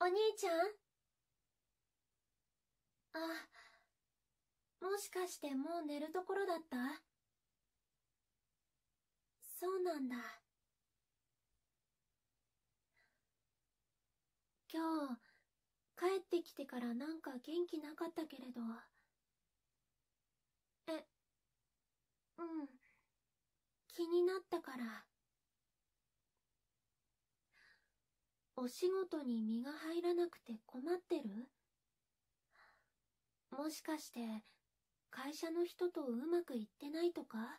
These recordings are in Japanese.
お兄ちゃんあ、もしかしてもう寝るところだったそうなんだ。今日、帰ってきてからなんか元気なかったけれど。え、うん気になったからお仕事に身が入らなくて困ってるもしかして会社の人とうまくいってないとか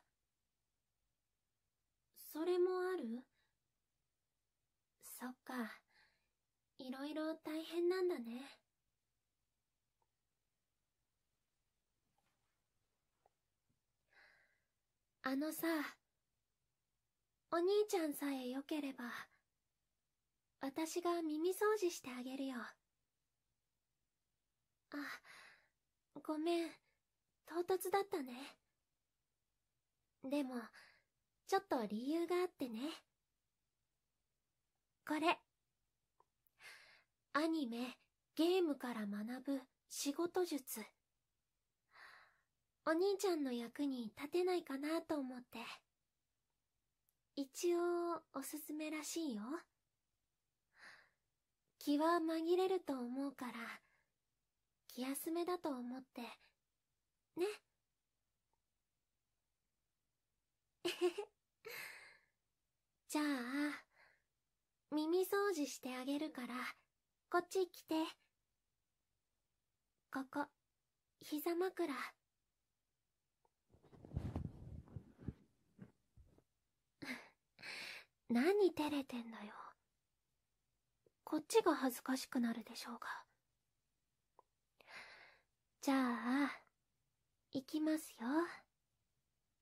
それもあるそっかいろいろ大変なんだねあのさお兄ちゃんさえよければ私が耳掃除してあげるよあごめん唐突だったねでもちょっと理由があってねこれ。アニメ、ゲームから学ぶ仕事術。お兄ちゃんの役に立てないかなと思って。一応、おすすめらしいよ。気は紛れると思うから、気休めだと思って、ね。じゃあ、耳掃除してあげるから、こっち来て。ここ、膝枕。何照れてんだよ。こっちが恥ずかしくなるでしょうが。じゃあ、行きますよ。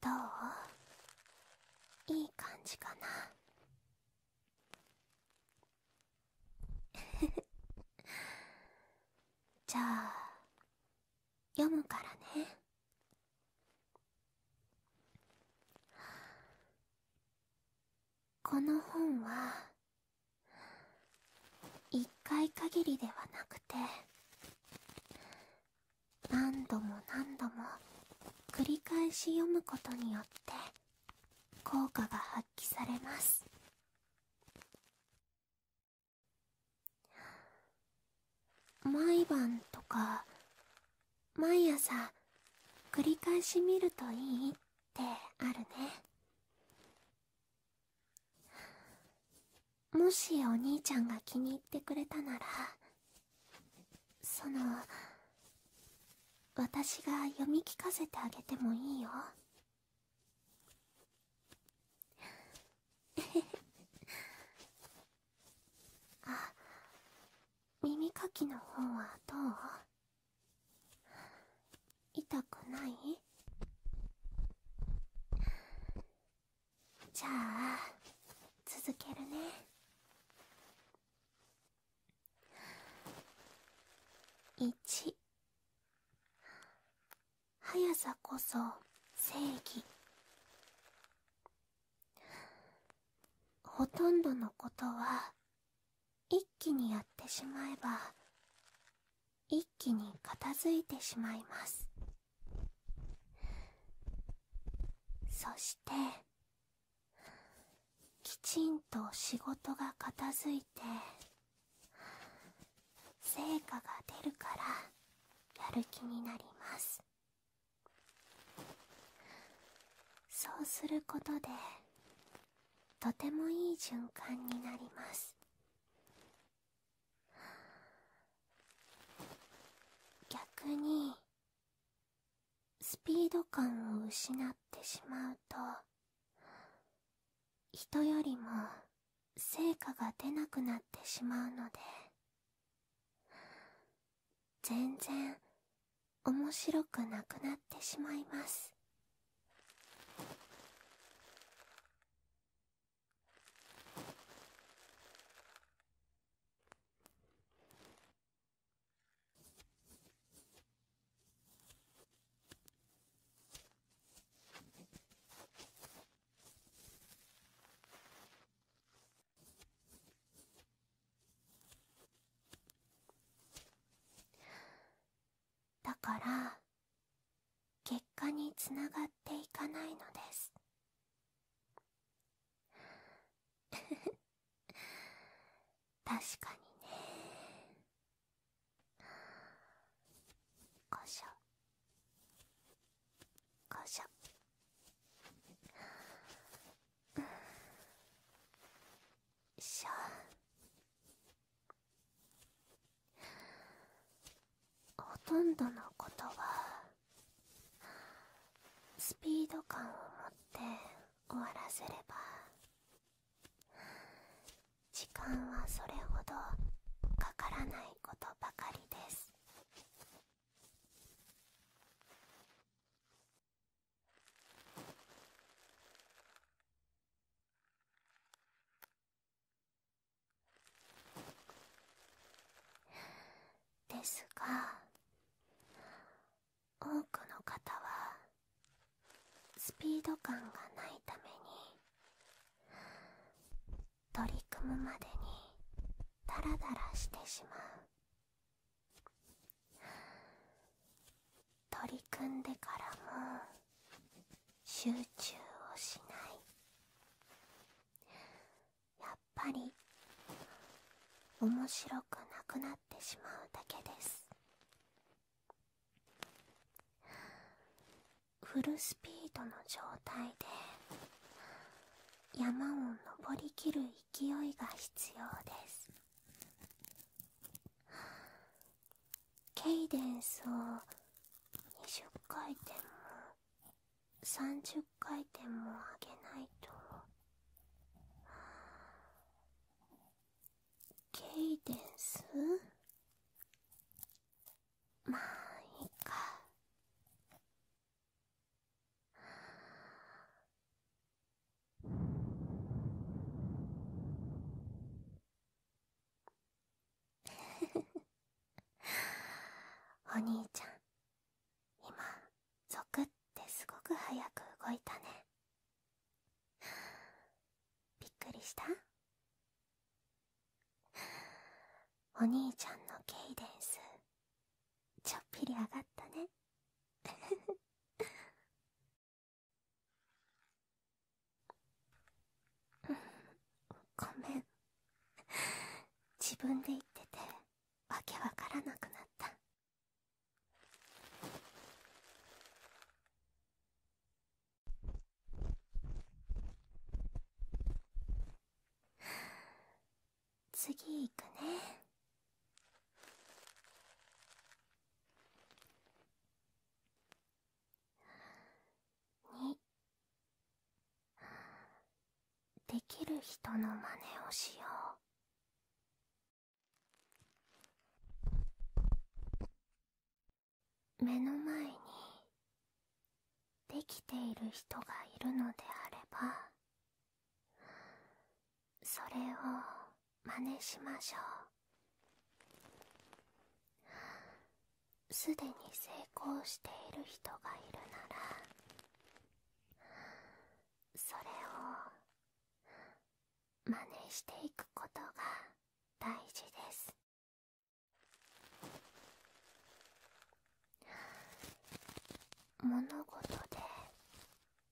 どういい感じかな じゃあ読むからねこの本は一回限りではなくて何度も何度も繰り返し読むことによって効果が発揮されます毎晩とか毎朝繰り返し見るといいってあるねもしお兄ちゃんが気に入ってくれたならその私が読み聞かせてあげてもいいよ あ耳かきの方はどう痛くないじゃあ続けるね1速さこそ正義ほとんどのことは一気にやってしまえば一気に片付いてしまいますそしてきちんと仕事が片づいて成果が出るからやる気になりますそうすることでとてもいい循環になります逆にスピード感を失ってしまうと人よりも成果が出なくなってしまうので全然面白くなくなってしまいますだから結果につながっていかないのです 確かにねこしょこしょしょほとんどのことはスピード感を持って終わらせれば時間はそれほどかからないことばかりですですが多くの方はスピード感がないために取り組むまでにダラダラしてしまう。取り組んでからも集中をしないやっぱり面白くなくなってしまうだけですフルスピードの状態で山を登りきる勢いが必要ですケイデンスを20回転も30回転も上げないとケイデンスまあいいかフフフお兄ちゃん今ゾクってすごく早く動いたねびっくりしたお兄ちゃんのケイデンスちょっぴり上がったね ごめん自分で言っててわけわからなくなった次いくねにできる人の真似をしよう。目の前にできている人がいるのであればそれを真似しましょうすでに成功している人がいるならそれを真似していくことが大事です物事で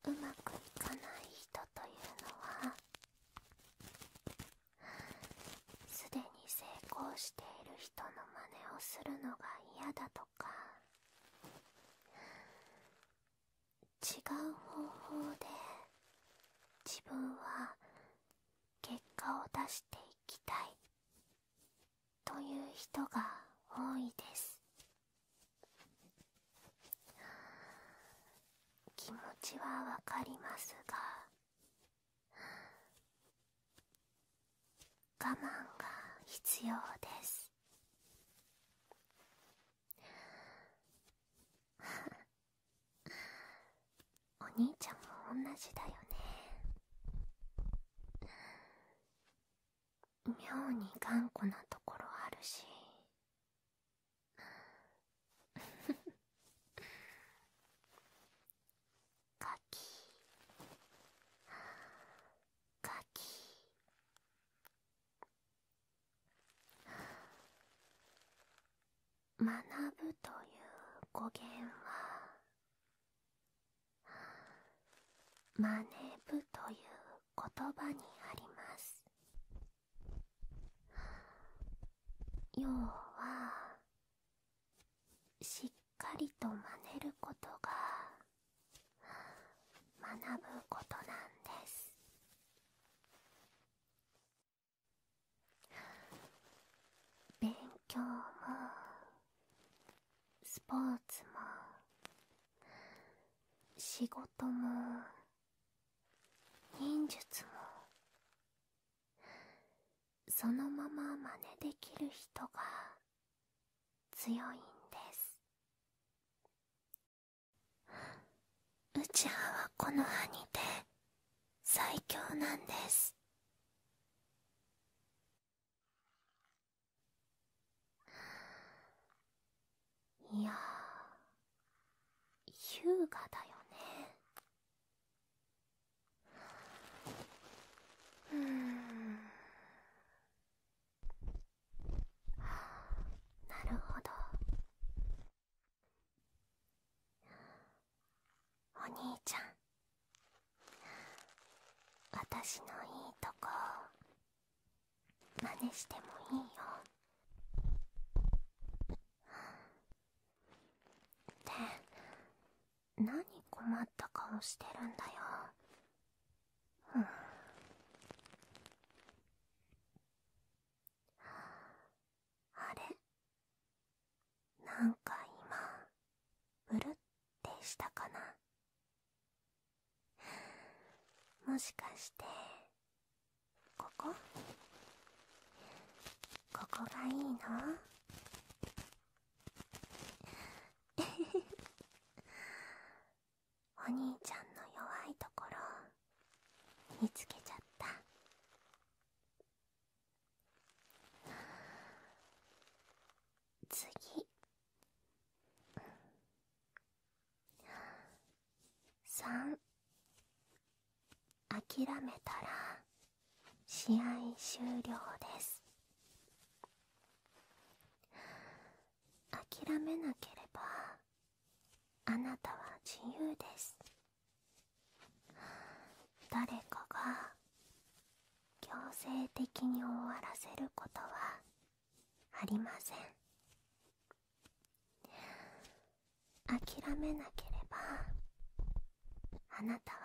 うまくいかない人というのはすでにに成功している人の真似をするのが嫌だとか違う方法で自分は結果を出していきたいという人が多いです気持ちはわかりますが我慢が必要です。お兄ちゃんも同じだよね妙に頑固なところあるし カキカキ学ぶという語源はまねぶという言葉にあります要はしっしっかりと真似ることが学ぶことなんです勉強もスポーツも仕事も忍術もそのまま真似できる人が強いんですうちははこの歯にて最強なんですいや優雅だよねうんなるほどお兄ちゃん私のいいとこ真似してもいいよって何困った顔してるんだよ。あれなんか今ブルってしたかなもしかしてここここがいいの お兄ちゃんの弱いところ見つけちゃった次3諦めたら試合終了です諦めなければあなたは自由です誰かが強制的に終わらせることはありません諦めなければあなたは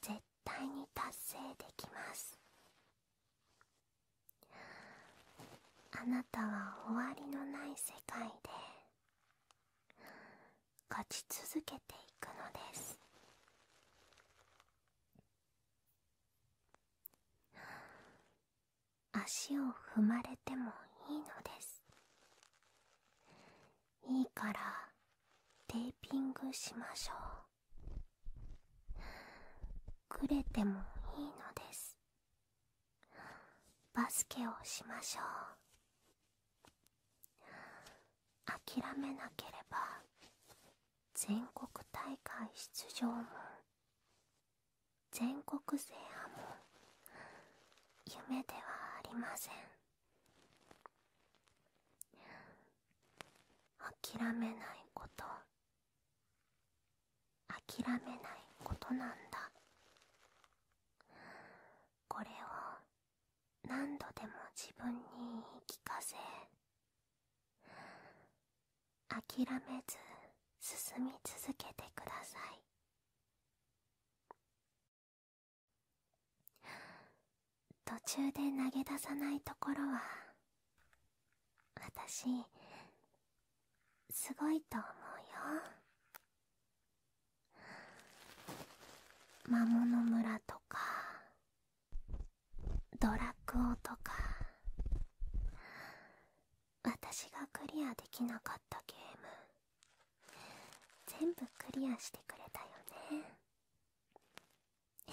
絶対にす。絶対に達成できますあなたは終わりのない世界で勝ち続けていくのです足を踏まれてもいいのですいいからテーピングしましょうくれてもいいのですバスケをしましょう諦めなければ全国大会出場も全国制覇も夢ではありません諦めないこと諦めないことなんだこれを何度でも自分に言い聞かせ諦めず進み続けてください途中で投げ出さないところは私すごいと思うよ魔物村とかドラクオとか私がクリアできなかったゲーム全部クリアしてくれたよね あ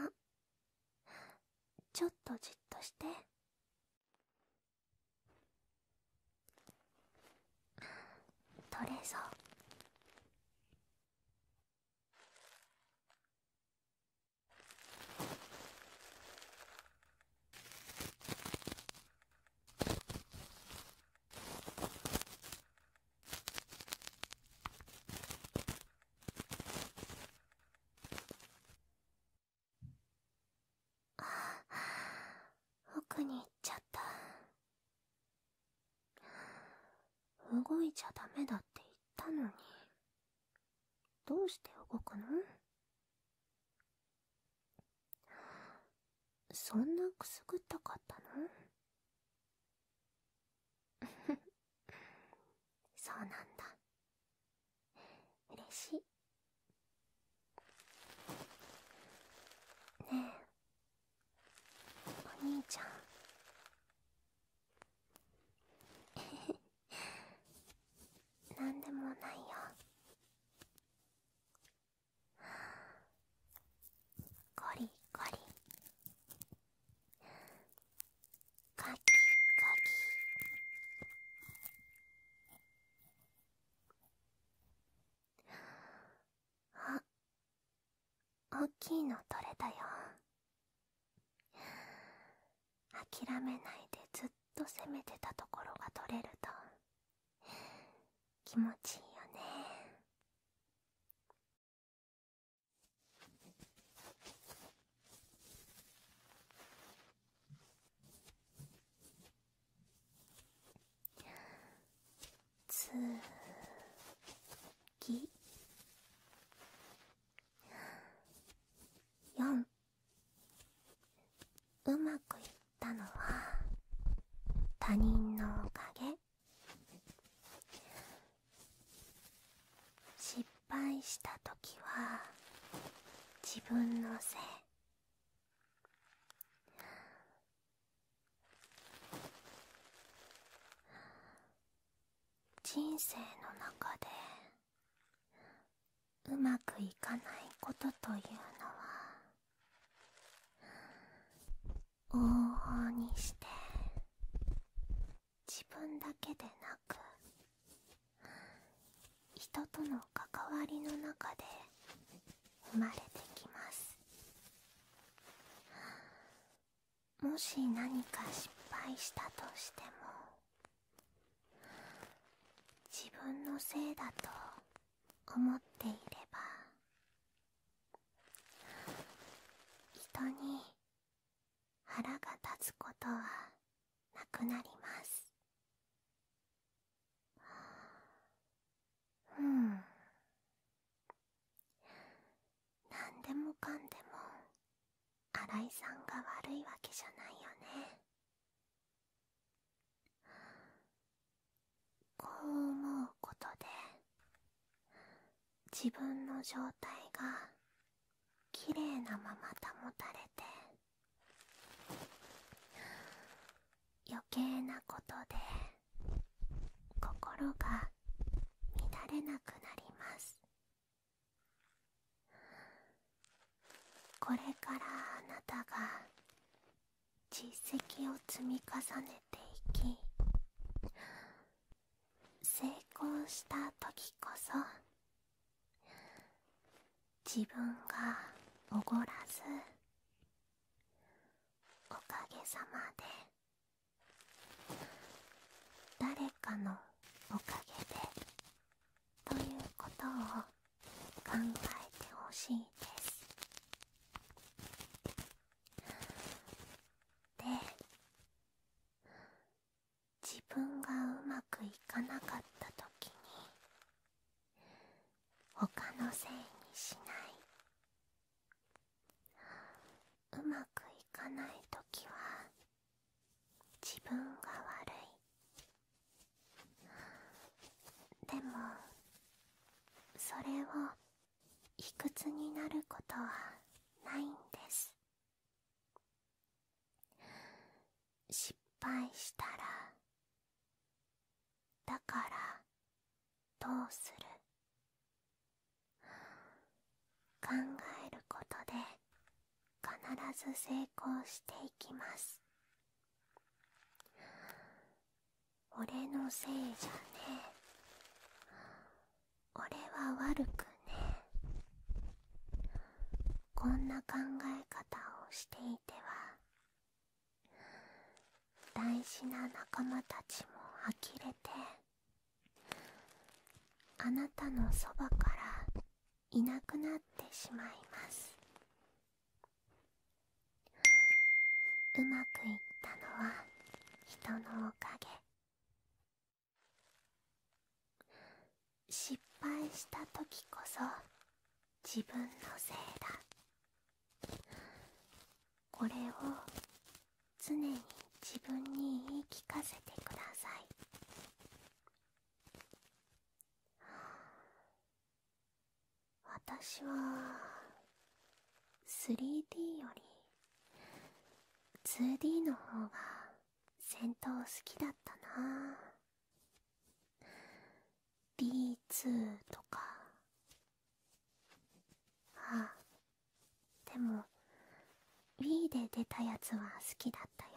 っ、ちょっとじっとして取れそうあ奥に行っちゃった動いちゃダメだって言ったのにどうして動くのそんなくすぐったかったの そうなんだ嬉しいねえお兄ちゃんなんでもないよゴリゴリカキカキあおっきいの取れたよ諦めないでずっと攻めてたところが取れると気持ちいいよねつぎ4うまくいったのは他人のおかげ失敗した時は自分のせい人生の中でうまくいかないことというのは往々にして自分だけでなく人との関わりの中で生まれてきますもし何か失敗したとしても自分のせいだと思っていれば人に腹が立つことはなくなりますうん何でもかんでも新井さんが悪いわけじゃないよねこう思うことで自分の状態がきれいなまま保たれて余計なことで心が乱れなくなりますこれからあなたが実績を積み重ねていき成功した時こそ自分がおごらずおかげさまで誰かのおかげでということを考えてほしいですで自分がうまくいかなかった時に他のせいにしないうまくいかない時は自分が悪いでもそれを卑屈になることはないんです失敗したらだからどうする考えることで必ず成功していきます俺のせいじゃね俺は悪くねこんな考え方をしていては大事な仲間たちも呆れてあなたのそばからいなくなってしまいますうまくいったのは人のおかげ失敗した時こそ自分のせいだこれを常に自分に言い聞かせてください私は 3D より 2D の方が戦闘好きだったな D2 とかあでも w i で出たやつは好きだったよ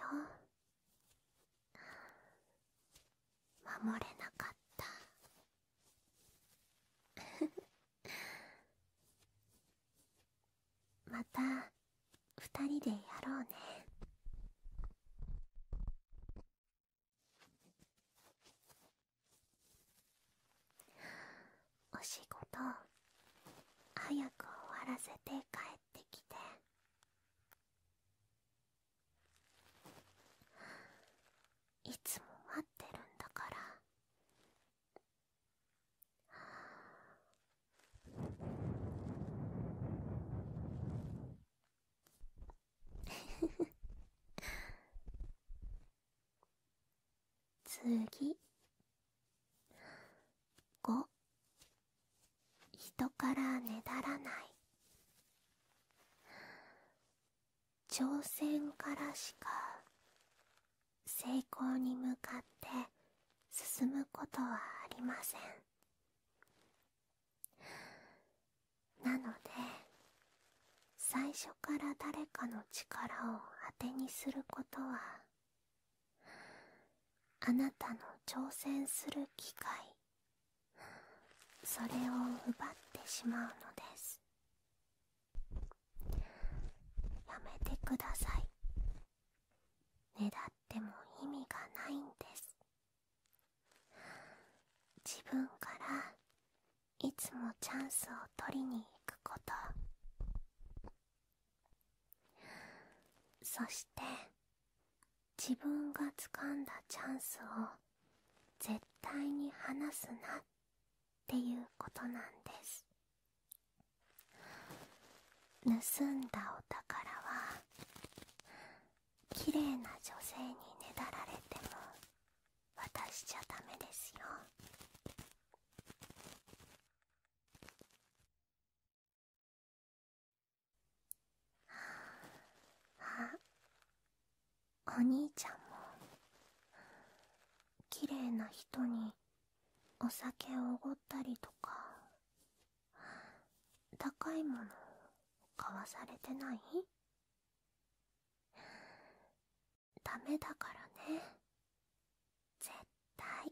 守れなかった また二人でやろうねお仕事早く終わらせて帰ってきて。いつも待ってるんだから次 5人からねだらない挑戦からしか成功に向かって進むことはありませんなので最初から誰かの力をあてにすることはあなたの挑戦する機会それを奪ってしまうのですやめてくださいねだっても意味がないんです自分からいつもチャンスを取りに行くことそして自分が掴んだチャンスを絶対に離すなっていうことなんです盗んだお宝は綺麗な女性にねだられても渡しちゃダメですよ お兄ちゃんも綺麗な人にお酒をおごったりとか高いもの買わされてないダメだからね絶対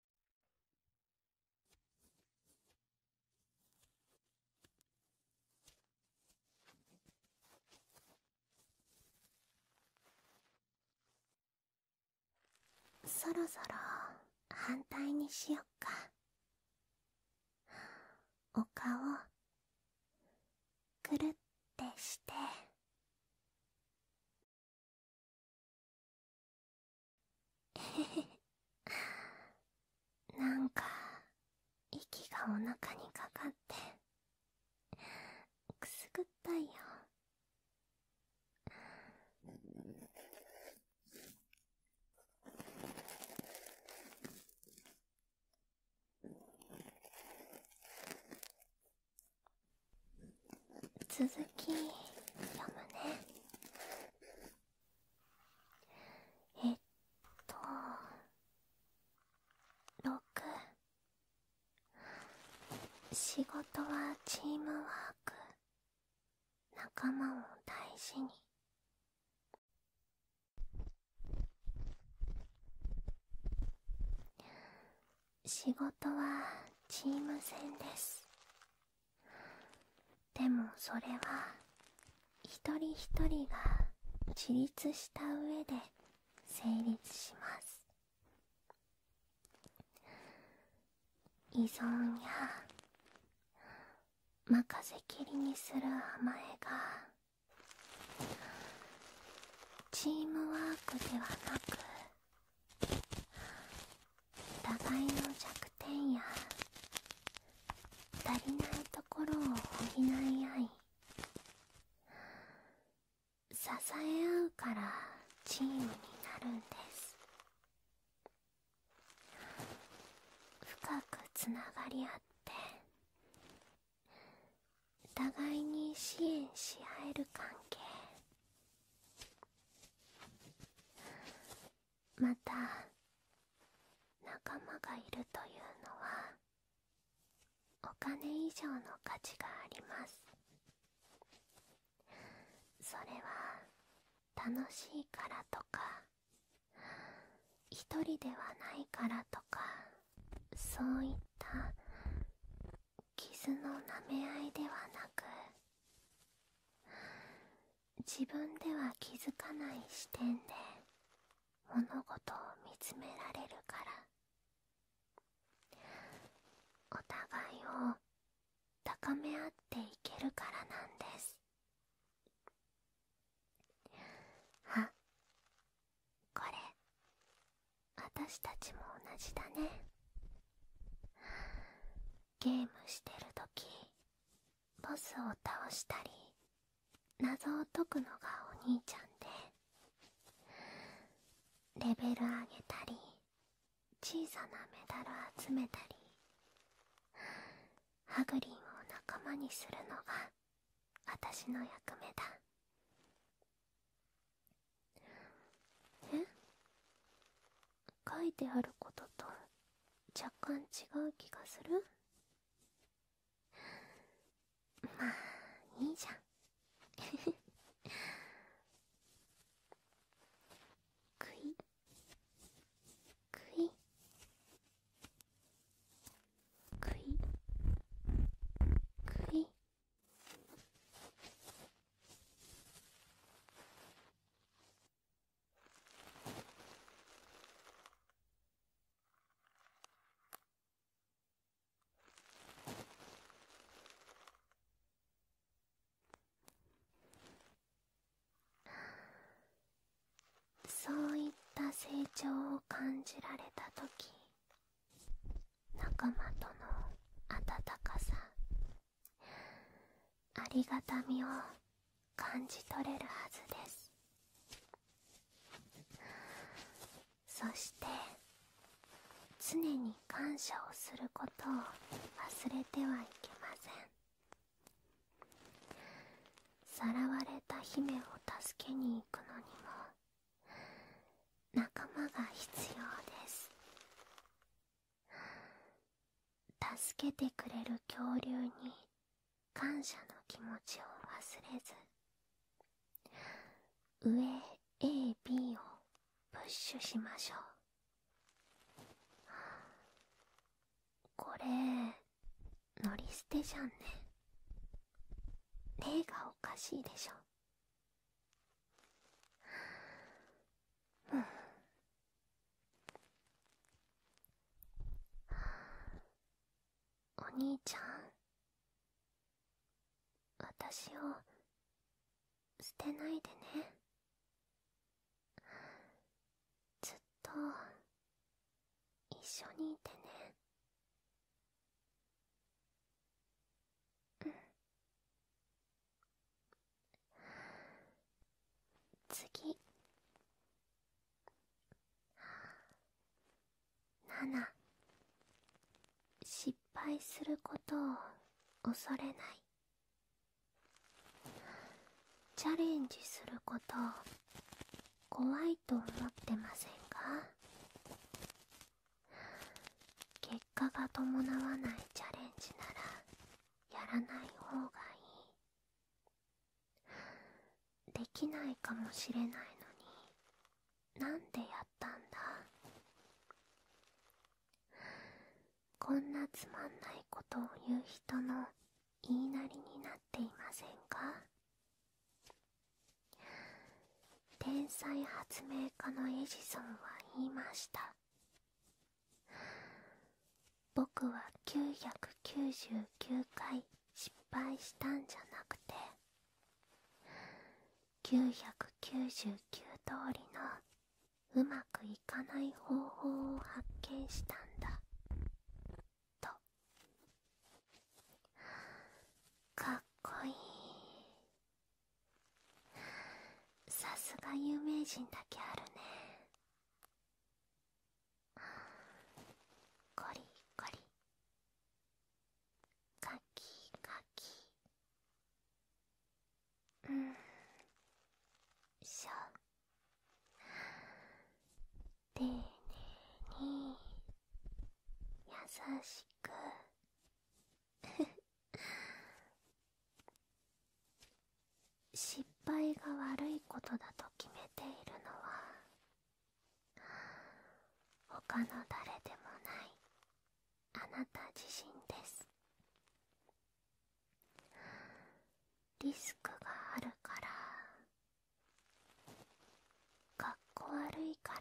そろそろ反対にしよっかお顔くるってして なんか息がお腹にかかってくすぐったいよ続き読むねえっと6仕事はチームワーク仲間を大事に仕事はチーム戦ですでもそれは一人一人が自立した上で成立します依存や任せきりにする甘えがチームワークではなく互いの弱点や足りないところを補い合い支え合うからチームになるんです深くつながり合って互いに支援し合える関係また仲間がいるというのはお金以上の価値がありますそれは楽しいからとか一人ではないからとかそういった傷の舐め合いではなく自分では気づかない視点で物事を見つめられるからお互いを高め合っていけるからなんですあこれ私たちも同じだねゲームしてるときボスを倒したり謎を解くのがお兄ちゃんでレベル上げたり小さなメダル集めたりハグリンを仲間にするのが私の役目だえ書いてあることと若干違う気がするまあいいじゃんく いくいくいくいそういった成長を感じられた時仲間との温かさありがたみを感じ取れるはずですそして常に感謝をすることを忘れてはいけませんさらわれた姫を助けに行くのにも仲間が必要です助けてくれる恐竜に感謝の気持ちを忘れず上 AB をプッシュしましょうこれ乗り捨てじゃんね例がおかしいでしょはお兄ちゃん私を捨てないでねずっと一緒にいてね次7失敗することを恐れないチャレンジすることを怖いと思ってませんか結果が伴わないチャレンジならやらない方がいいできないかもしれないのになんでやったんだこんなつまんないことを言う人の言いなりになっていませんか天才発明家のエジソンは言いました僕は999回失敗したんじゃなくて999通りのうまくいかない方法を発見したんだとかっこいいさすが有名人だけあるねコリコリカキカキうんしょ丁寧に優しく失敗が悪いことだと決めているのは他の誰でもないあなた自身ですリスクがあるからかっこ悪いから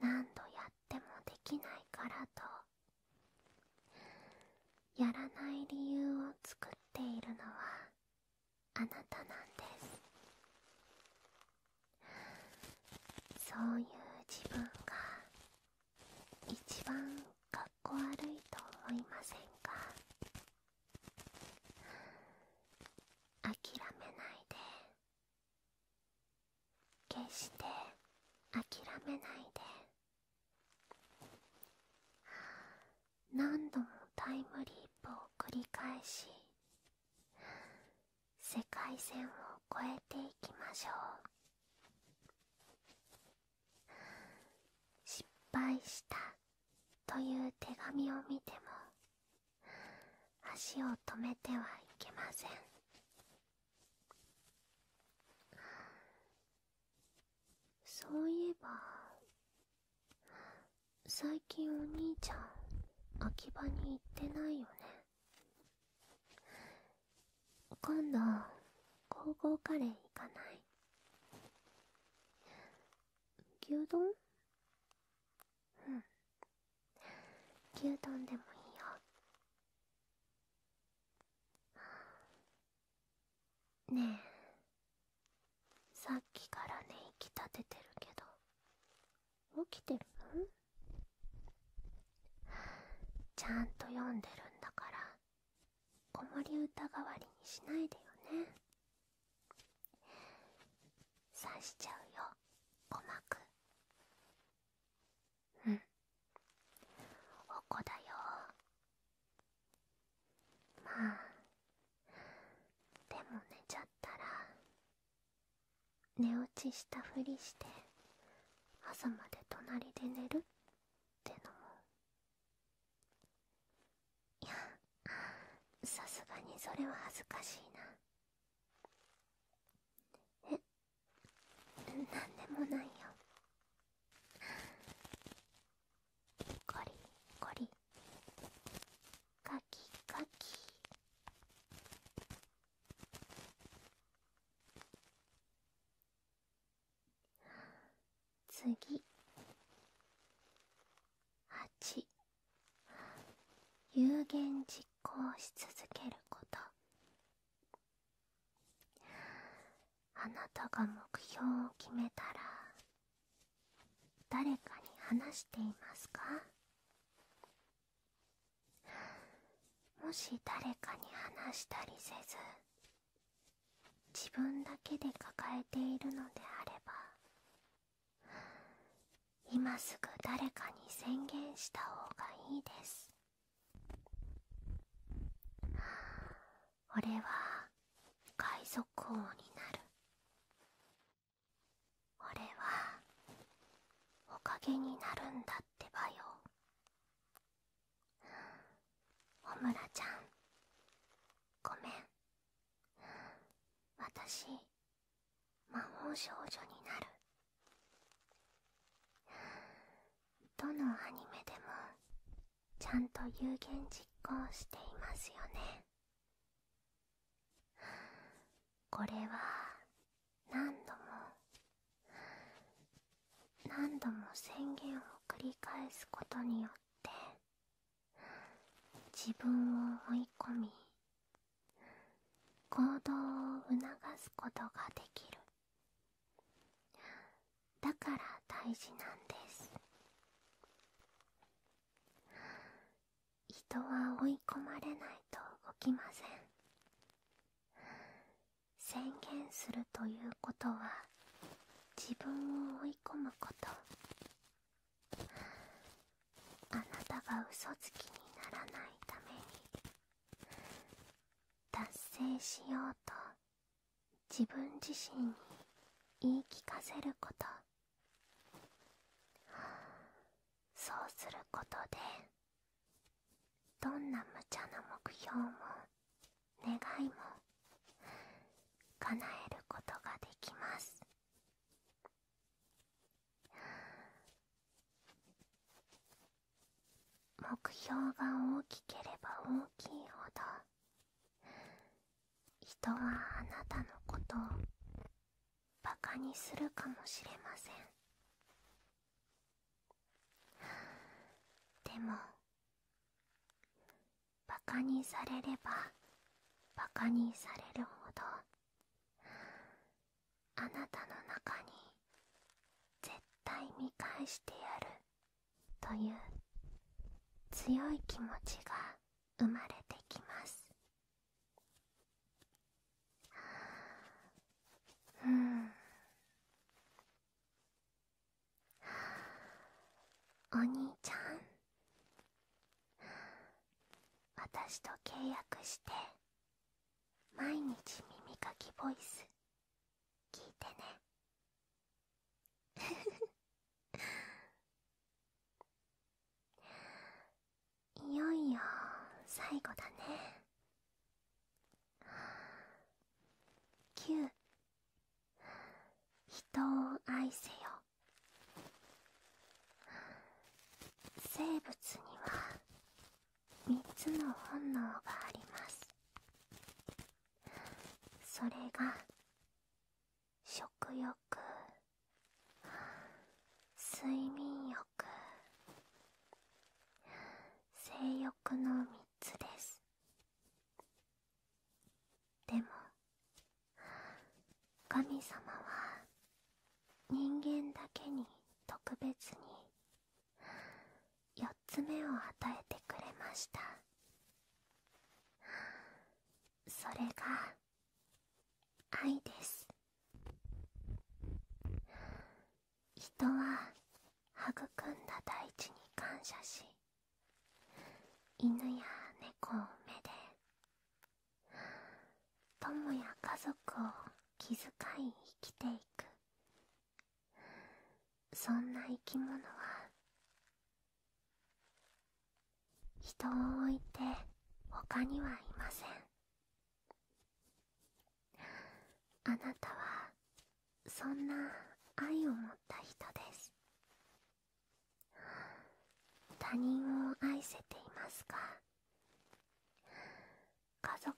何度やってもできないからとやらない理由を作っているのはあなたなんですそういう自分が一番かっこ悪いと思いませんか諦めないで決して諦めないで何度もタイムリープを繰り返し世界線を越えていきましょう失敗したという手紙を見ても足を止めてはいけませんそういえば最近お兄ちゃん秋葉に行ってないよね今度高校カレー行かない牛丼うん牛丼でもいいよねえさっきからねいきたててるけど起きてるんちゃんと読んでるんだから子守歌代わりにしないでよね刺しちゃうよ鼓膜うんおこだよまあでも寝ちゃったら寝落ちしたふりして朝まで隣で寝るってのもいやさすがにそれは恥ずかしいなえなんでもないよゴリゴリカキカキ次ち。有言実行し続けることあなたが目標を決めたら誰かに話していますかもし誰かに話したりせず自分だけで抱えているのであれば今すぐ誰かに宣言した方がいいです俺は海賊王になる俺はおかげになるんだってばよ穂村ちゃんごめん私魔法少女になるどのアニメでもちゃんと有言実行していますよねこれは何度も何度も宣言を繰り返すことによって自分を思い込み行動を促すことができるだから大事なんです人は追い込まれないと動きません宣言するということは自分を追い込むことあなたが嘘つきにならないために達成しようと自分自身に言い聞かせることそうすることでどんな無茶な目標も願いも叶えることができます目標が大きければ大きいほど人はあなたのことをバカにするかもしれませんでもバカにされればバカにされるほどあなたの中に絶対見返してやるという強い気持ちが生まれてきますうんお兄ちゃん私と契約して毎日耳かきボイス聞いてねいよいよ最後だね9人を愛せよ生物には3つの本能がありますそれが食欲睡眠欲性欲の3つですでも神様は人間だけに特別に4つ目を与えてくれましたそれが愛です人は育んだ大地に感謝し犬や猫を目で友や家族を気遣い生きていくそんな生き物は人を置いて他にはいませんあなたはそんな愛を持った人です他人を愛せていますか家族を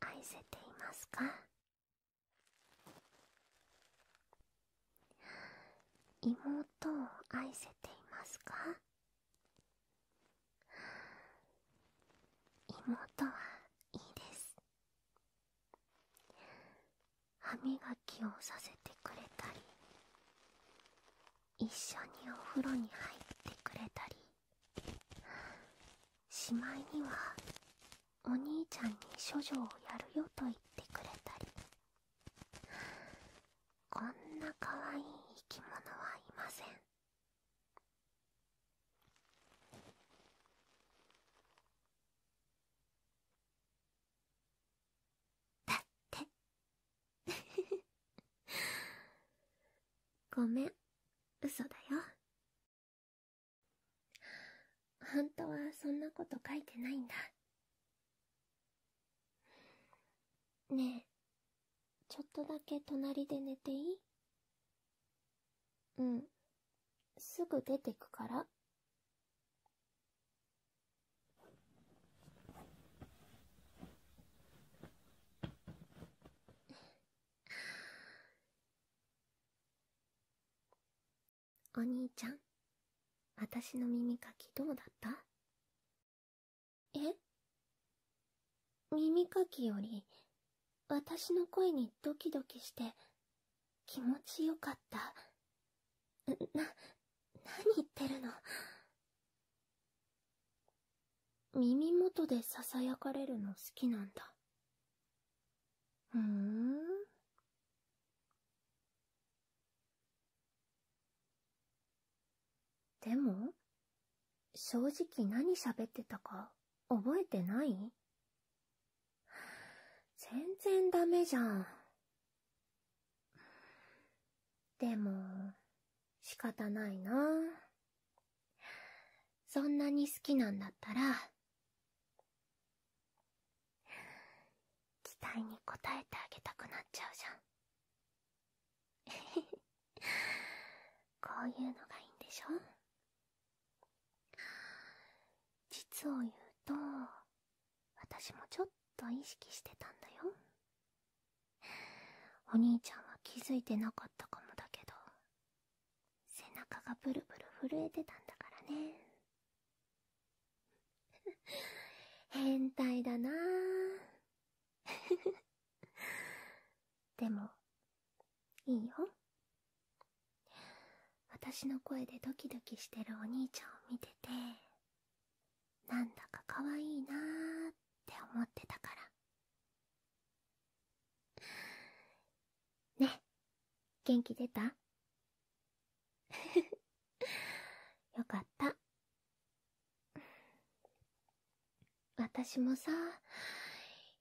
愛せていますか妹を愛せていますか妹はいいです歯磨きをさせてくれたり一緒にお風呂に入ってくれたりしまいにはお兄ちゃんに処女をやるよと言ってくれたりこんなかわいい生き物はいませんだって ごめん、嘘だよ。本当はそんなこと書いてないんだ。ねえ、ちょっとだけ隣で寝ていいうん。すぐ出てくから。お兄ちゃん、私の耳かきどうだったえ耳かきより、私の声にドキドキして、気持ちよかった。な、何言ってるの耳元でささやかれるの好きなんだふんでも正直何喋ってたか覚えてない全然ダメじゃんでも、仕方ないな。そんなに好きなんだったら、期待に応えてあげたくなっちゃうじゃん。こういうのがいいんでしょ実を言うと、私もちょっと意識してたんだよ。お兄ちゃんは気づいてなかったかもだけど背中がブルブル震えてたんだからね 変態だな でもいいよ私の声でドキドキしてるお兄ちゃんを見ててなんだかかわいいなーって思ってたからね元気出た よかった私もさ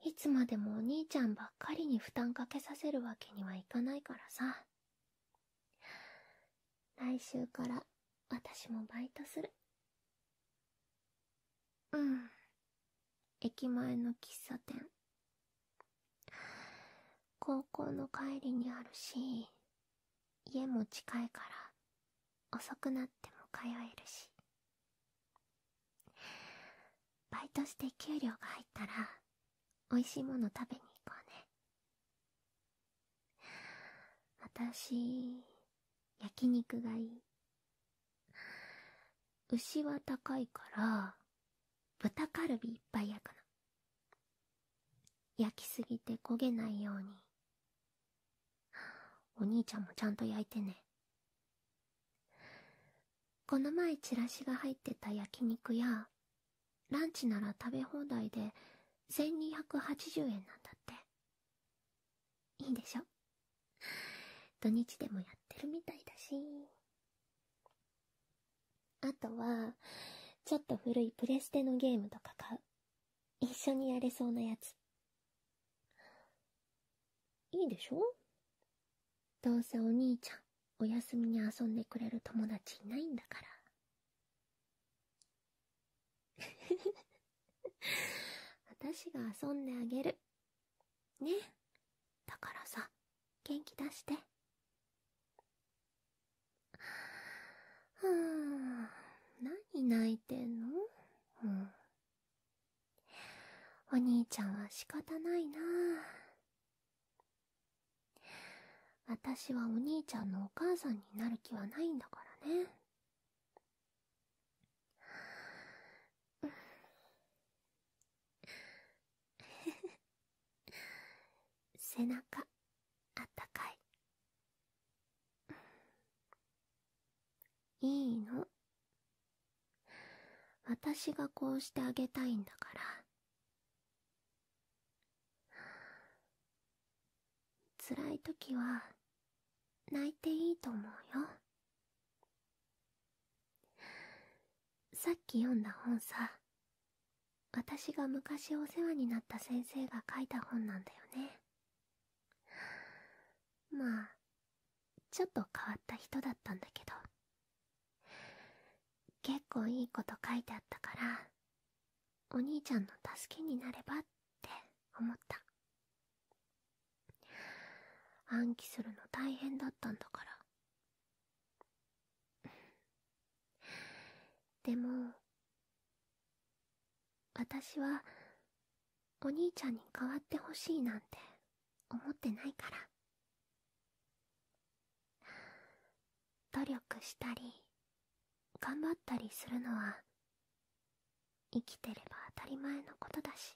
いつまでもお兄ちゃんばっかりに負担かけさせるわけにはいかないからさ来週から私もバイトする。うん。駅前の喫茶店。高校の帰りにあるし、家も近いから、遅くなっても通えるし。バイトして給料が入ったら、美味しいもの食べに行こうね。私、焼肉がいい。牛は高いから、豚カルビいっぱい焼くの。焼きすぎて焦げないように。お兄ちゃんもちゃんと焼いてね。この前チラシが入ってた焼肉や、ランチなら食べ放題で1280円なんだって。いいでしょ土日でもやってるみたいだし。あとは、ちょっと古いプレステのゲームとか買う。一緒にやれそうなやつ。いいでしょどうせお兄ちゃん、お休みに遊んでくれる友達いないんだから。私が遊んであげる。ね。だからさ、元気出して。ははん、何泣いてんの、うん、お兄ちゃんは仕方ないな私はお兄ちゃんのお母さんになる気はないんだからね。背中あったかいいいの私がこうしてあげたいんだからは辛い時は泣いていいと思うよさっき読んだ本さ私が昔お世話になった先生が書いた本なんだよねまあちょっと変わった人だったんだけど結構いいこと書いてあったからお兄ちゃんの助けになればって思った暗記するの大変だったんだからでも私はお兄ちゃんに代わってほしいなんて思ってないから努力したり頑張ったりするのは生きてれば当たり前のことだし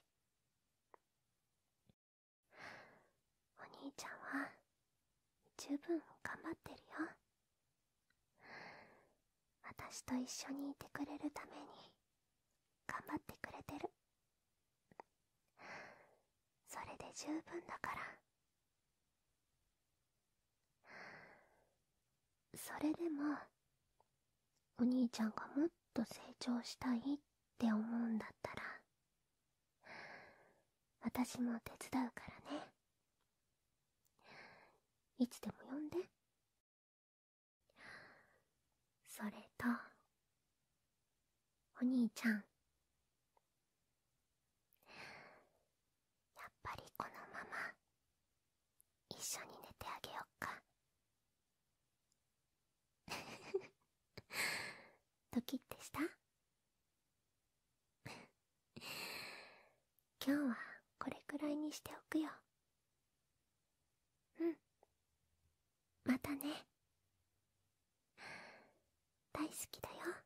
お兄ちゃんは十分頑張ってるよ私と一緒にいてくれるために頑張ってくれてるそれで十分だからそれでもお兄ちゃんがもっと成長したいって思うんだったら私も手伝うからねいつでも呼んでそれとお兄ちゃんやっぱりこのまま一緒に寝てあげよっか ドキッてした 今日はこれくらいにしておくようんまたね大好きだよ